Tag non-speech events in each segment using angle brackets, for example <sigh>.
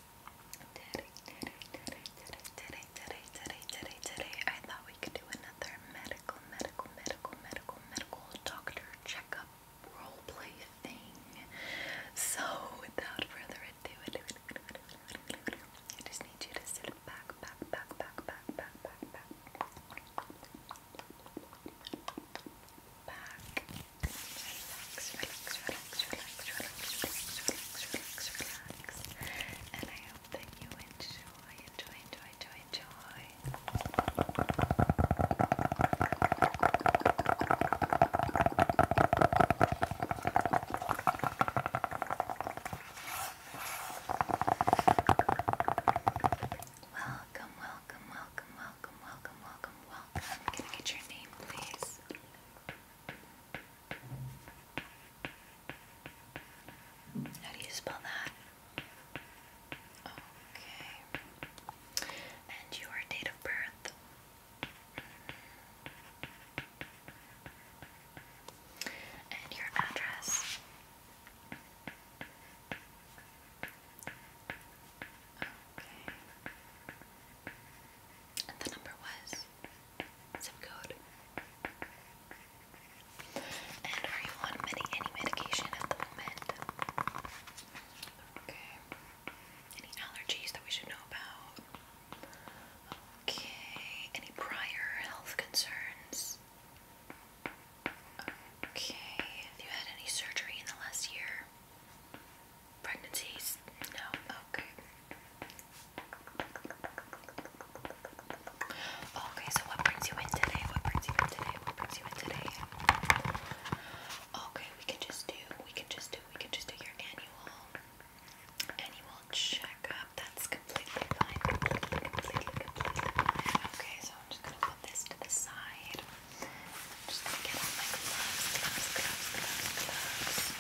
Today, today, today, today, today, today, today, today, today, I thought we could do another medical, medical, medical, medical, medical doctor checkup role thing. So, without further ado, I just need you to sit back, back, back, back, back, back, back, back, relax, relax, relax, relax, relax, relax, relax, relax. And I hope that you enjoy, enjoy, enjoy, enjoy. Welcome, welcome, welcome, welcome, welcome, welcome, welcome. Can I get your name, please? How do you spell that? Okay. And your date of birth? And your address? Okay. And the number was? zip code. And are you on many, any medication at the moment? Okay. Any allergies that we should know about? Okay. Any prior health concerns? Okay. Have you had any surgery in the last year? pregnancies? No, okay. Okay, so what brings you in today? What brings you in today? What brings you in today? Okay, we can just do, we can just do, we can just do your annual, annual checkup. That's completely fine. Completely, completely, completely fine. Okay, so I'm just gonna put this to the side. I'm just gonna get all my gloves, gloves, gloves, gloves, gloves.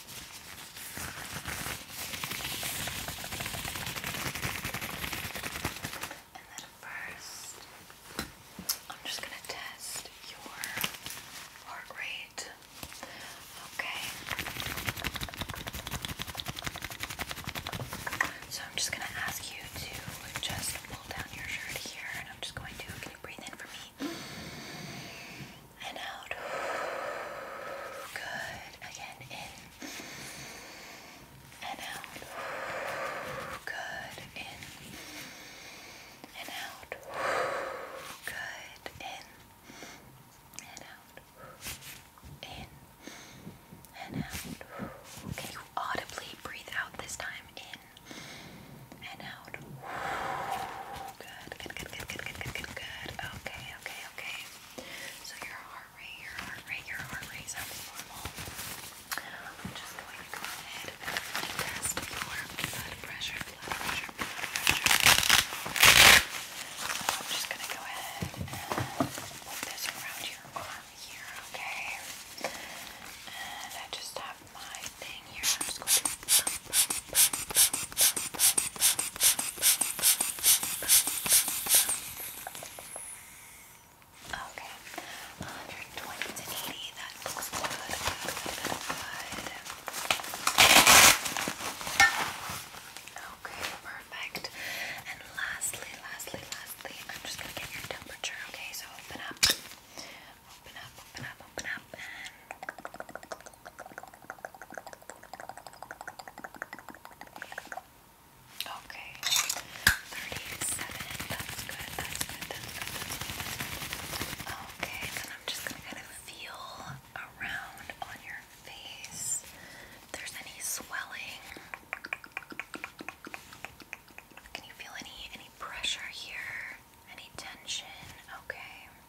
And then first, I'm just going to test your heart rate. Okay. So I'm just going to ask you to just pull down your shirt here, and I'm just going to. Can you breathe in for me? and out. Good. Again, in and out. Good. In and out. Good. In and out. In and out. Can you audibly breathe out this time? In and out. Good. Good. Good. Good. Good. Good. Good. Okay. Okay. Okay. So your heart rate, your heart rate, your heart rate sounds normal. I'm just going to go ahead and test your blood pressure, blood pressure, blood pressure. So I'm just going to go ahead and put this around your arm here, okay? And I just have my thing here. I'm just going to pump, pump, pump, pump, Okay, 120 to 80, that looks good, good, good, good, Okay, perfect. And lastly, lastly, lastly, I'm just gonna get your temperature, okay? So open up, open up, open up, open up, and Okay, 37, that's good, that's good, that's good, Okay, then I'm just gonna kind of feel around on your face there's any swelling. Can you feel any any pressure here? Any tension? Okay.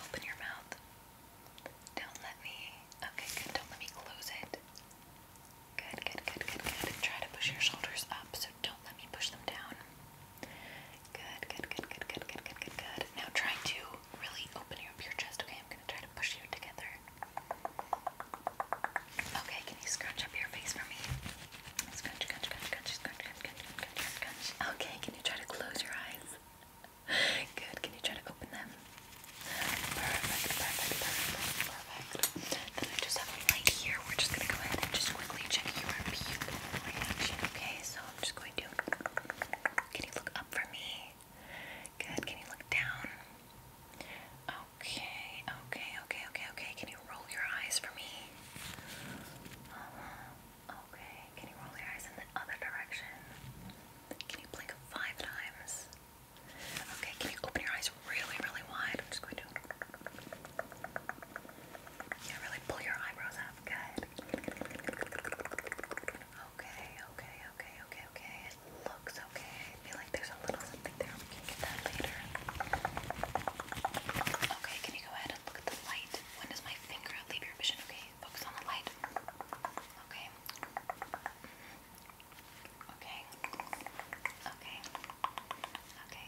open your mouth. Don't let me. Okay, good. Don't let me close it. Good, good, good, good, good. Try to push your shoulders up, so don't let me push them down. Good, good, good, good, good, good, good, good, Now try to really open up your chest, okay? I'm gonna try to push you together. Okay, can you scrunch up your face for me? scrunch, scrunch, scrunch, scrunch, scrunch, scrunch, scrunch, scrunch. Okay, can you try to close your eyes? <laughs> Good. Can you try to open them? Perfect, perfect, perfect, perfect. Then I just have them here. We're just gonna go ahead and just quickly check your reaction. Okay, so I'm just going to. Can you look up for me? Good. Can you look down? Okay, okay, okay, okay, okay. Can you roll your eyes for me? Uh-huh. Okay, can you roll your eyes in the other direction? Can you blink five times? Okay, can you open your eyes really, really wide? I'm just going to. Yeah, really pull your eyebrows up. Good. Okay, okay, okay, okay, okay. It looks okay. I feel like there's a little something there. We can get that later. Okay, can you go ahead and look at the light? When does my finger leave your vision? Okay, Focus on the light. Okay. Okay. Okay. Okay.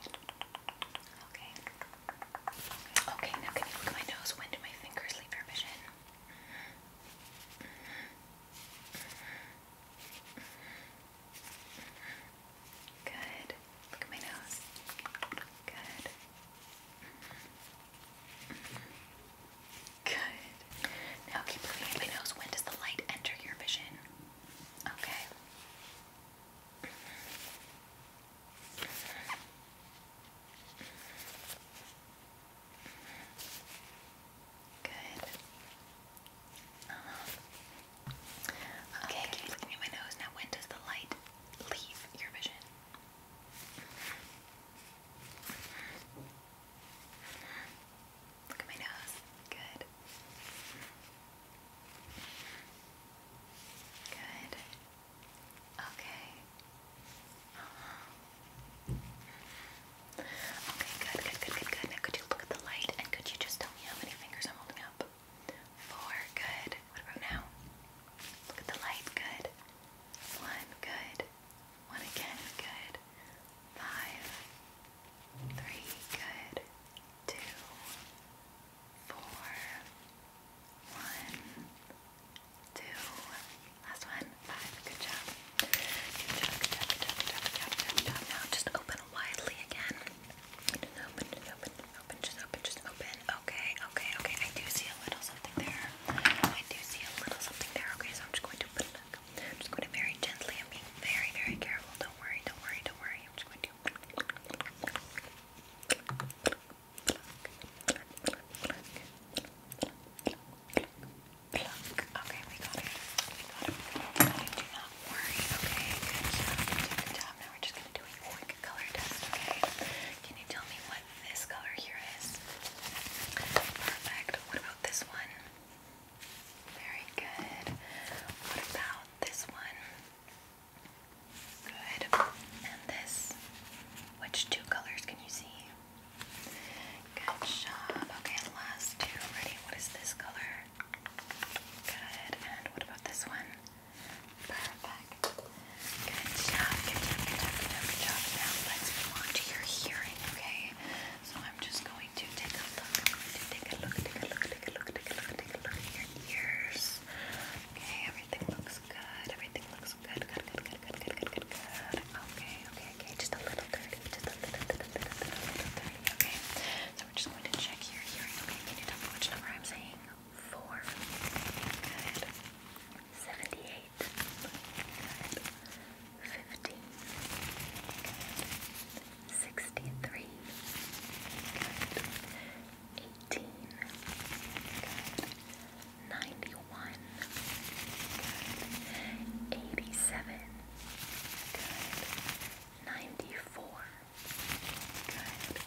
Okay. Okay, now can you look at my nose? When do my fingers leave your Good. Look at my nose. Good. Good. Now keep moving anybody knows when does the light enter your vision? Okay. Good. Uh-huh. okay. keep looking at my nose. Now when does the light leave your vision? Look at my nose. Good. Good. Okay. Okay, good, good, good, good, good. Now could you look at the light and could you just tell me how many fingers I'm holding up? Four, good. What about now? Look at the light, good. One, good. One again, good. Five, three, good. Two, four, one, two. Last one, five. Good job. Now just open widely again. Just open, open, open, just open, just open, Okay, okay, okay. I do see a little something there. I do see a little something there. Okay, so I'm just going to put it I'm just going to very gently. I'm being very, very careful. Don't worry, don't worry, don't worry. I'm just going to. Okay, we got it. We got it. Do not worry. Okay, good job. Good job. Now we're just going to do a quick color test, okay? Can you tell me what this color here is perfect. What about this one? Very good. What about this one? Good. And this? Which two colors can you see? Good job. Okay, last two. Ready? What is this color? Good. And what about this one? Perfect. Good job, good job, good job, Now let's move on your hearing, okay? So I'm just going to take a look, take a look, take a look, take a look, take a look, take a look at your ears. Okay, everything looks good, everything looks good, good, good, good, good, good, good, good, Okay, okay, okay, just a little dirty, just a little, little, little, little, little dirty, okay? So we're just going to check your hearing, okay? Can you tell me number I'm saying? four. Good. Seventy-eight. Good. Fifteen. Good. Sixty-three. Good. Eighteen. Good. Ninety-one. Good. Eighty-seven. Good. Ninety-four. Good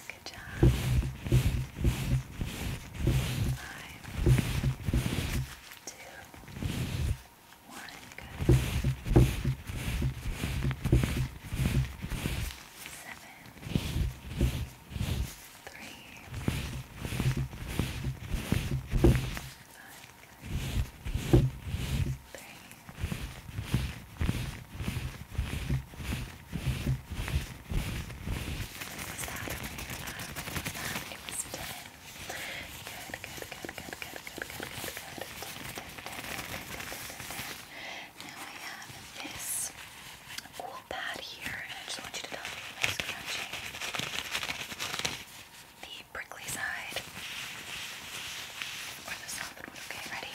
Good job. Five, two, one. Good. Seven, three, five. Good. Three. Two, was that over was that? It was 10. Good, good, good, good, good, good, good, good, good. 10, 10, 10, 10, Now I have this cool pad here, and I just want you to tell me scratching the prickly side or the solid one. Okay, ready?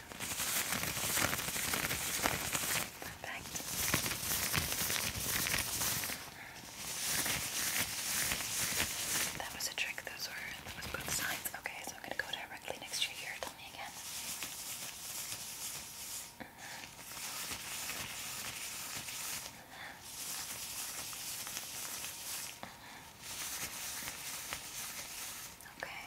Perfect. That was a trick. Those were that was both Okay, so I'm gonna go directly next to your ear. Tell me again. Okay.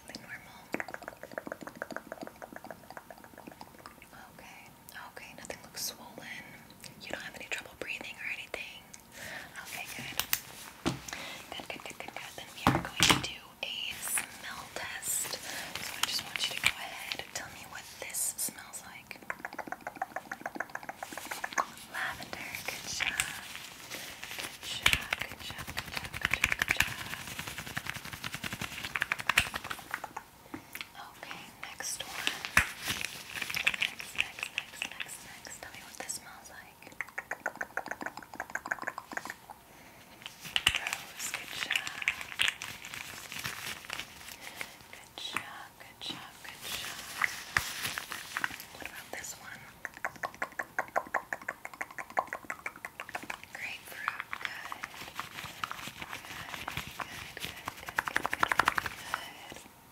Okay, okay, nothing looks swollen. You don't have any trouble breathing or anything. Okay, Good, good, good, good, good. Then we are going to do a smell test. So I just want you to go ahead and tell me what this smells like. Lavender, good job. Good job, good job, good job, good job, Okay, next one. Next, next, next, next, next. Tell me what this smells like. Rose, good job. Good job, good job, good job. What about this one? Grapefruit, good. Good, good, good,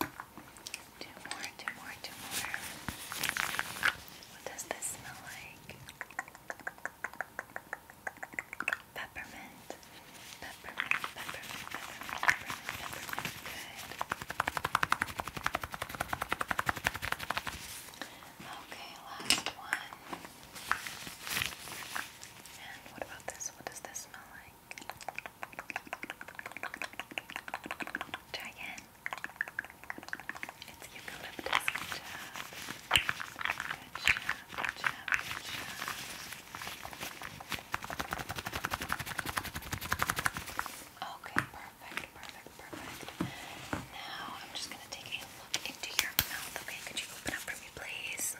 good, good, good, more, two more, two more. What does this smell like? Peppermint. Peppermint, peppermint, peppermint, peppermint, peppermint. Good. Okay, last one. And what about this? What does this smell like? Try again. It's eucalyptus. Good job. Good job. Good job. Good job. Okay, perfect, perfect, perfect. Now I'm just gonna take a look into your mouth. Okay, could you open up for me, please?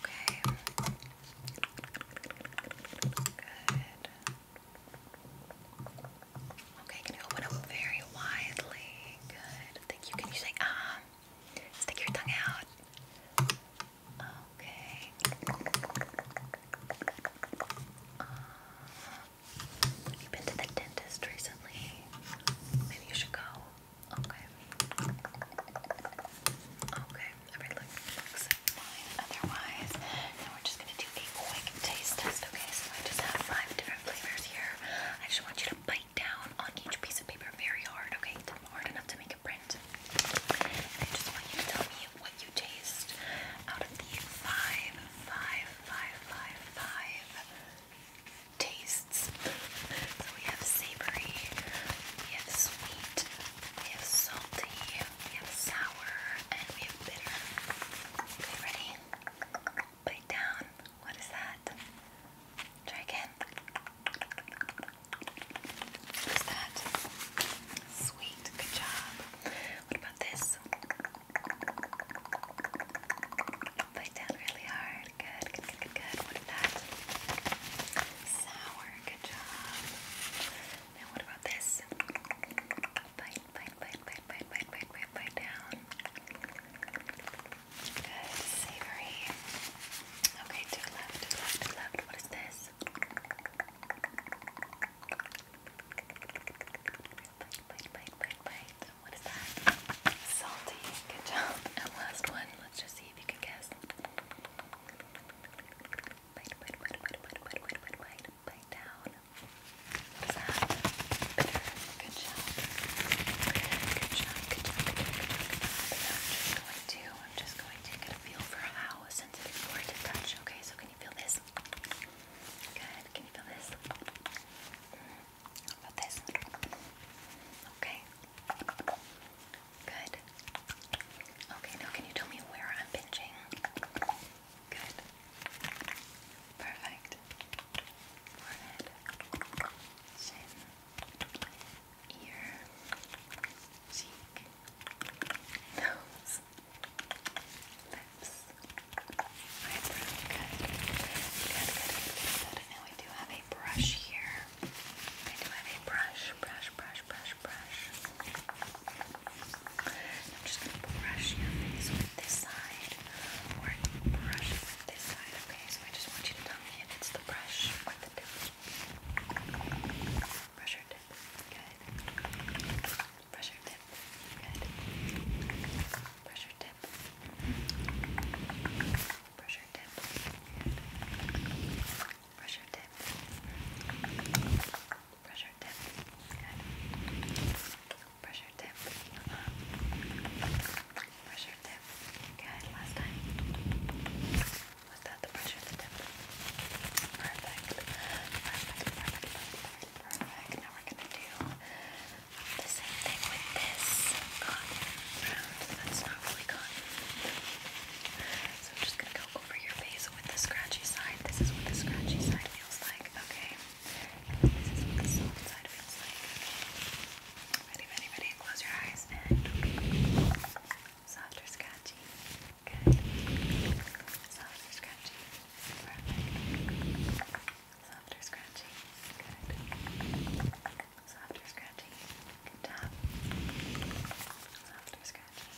Okay. Good. Okay, can you open up very widely? Good. Thank you. Can you say ah? Stick your tongue out. Okay. Uh, you been to the dentist recently. Maybe you should go. Okay. Okay, everything looks fine otherwise. Now we're just gonna do a quick taste test, okay? So I just have five different flavors here. I just want you to bite down on each piece of paper very hard, okay? hard enough to make a print. I just want you to tell me what you taste out of the five, five, five, five, five tastes. we have savory, we have sweet, we have salty, we have sour, and we have bitter. Okay, ready? Bite down. What is that? Try again. What's that? Sweet. Good job. What about this? nails. Bite down really hard. Good, good, good, good, good. What is that? Sour. Good job. Now what about this? Bite, bite, bite, bite, bite, bite, bite, bite, bite down. Good, savory. Okay, to the left, to the left, to the left. What is this? Bite, What is that? Salty. Good job. And last one. Let's just see if you can guess. What is that? Good job. Good job. Good job. I'm just going to. I'm just going to get a feel for how sensitive for to touch. Okay, so can you feel this? Good. Can you feel this? How mm, about this? Okay. Good. Okay, now can you tell me where I'm pinching? Good. Perfect. Forehead, chin, ear, cheek, <laughs> nose lips. Alright, really good. Good, good, good, good. Now we do have a brush here. I do have a brush, brush, brush, brush, brush. I'm just going to brush your face with this side, or brush it with this side, okay? So I just want you to tell me if it's the brush or the tip. Brush or tip. Good. Pressure tip. Good. Pressure tip. Pressure tip. Good. Pressure tip. Pressure tip. Good. Pressure tip. Pressure tip. Good. Last time. Was that the pressure tip? Perfect. Perfect. Perfect. Perfect. Perfect. Now we're gonna do the same thing with this cotton round. That's not really cotton. So I'm just gonna go over your face with the scratchy side. This is what the scratchy side feels like, okay? And this is what the soft side feels like. Ready, ready, ready. Close your eyes and soft or scratchy. Good. Soft or scratchy. Perfect. Softer scratching. Good. Softer scratching. Good job. Softer scratching.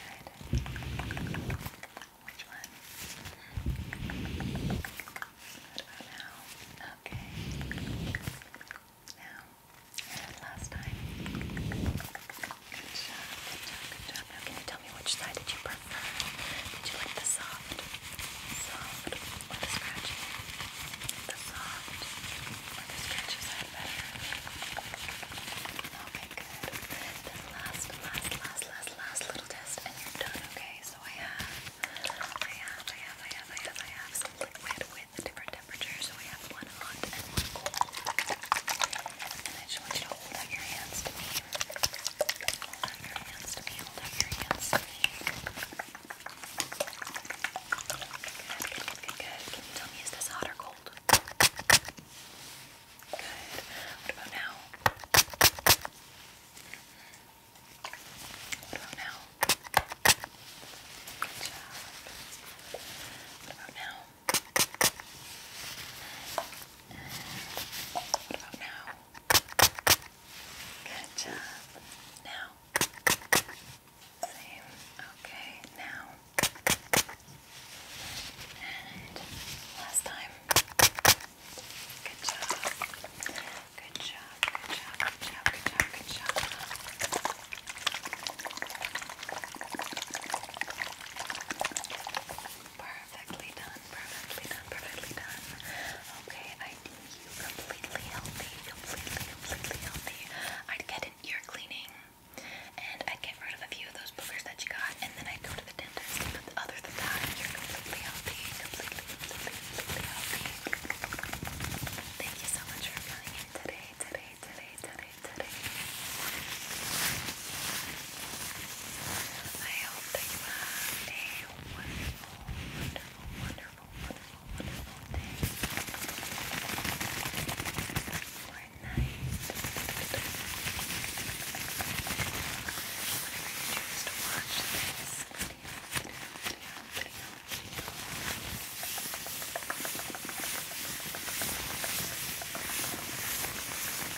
Good. Which one? What about now? Okay. Now, and last time. Good job. Good job. Good job. Now, can you tell tell me which side did you prefer? Did you like the soft? Soft or the scratchy? The soft or the scratchy side better? Okay, good. Then last, last, last, last, last little test and you're done, okay? So I have, I have, I have, I have, I have, I have some liquid with different temperatures. So I have one hot and one cold. And I just want you to so hold out your hands to me. Hold out your hands to me. Hold out your hands to me. Good, good, good, good. Can you tell me, is this hot or cold? Good. What about now? What about now? Good job. What about now? What about now? Good job. Now. Same. Okay, now. And last time. Good job. Good job. Good job. Good job. Good job. Good job. Perfect. Perfectly done, perfectly done, perfectly done. Okay, I need you completely healthy, completely, completely healthy. i get an cleaning and i get rid of a few of those boogers that you got, and then i go to the dentist. But other than that, you're completely healthy, completely, completely, completely healthy. Thank you so much for coming today, today, today, today, today. I hope that you have a wonderful, wonderful, wonderful, wonderful, wonderful day or night, whenever you choose to watch this video, video, video, video.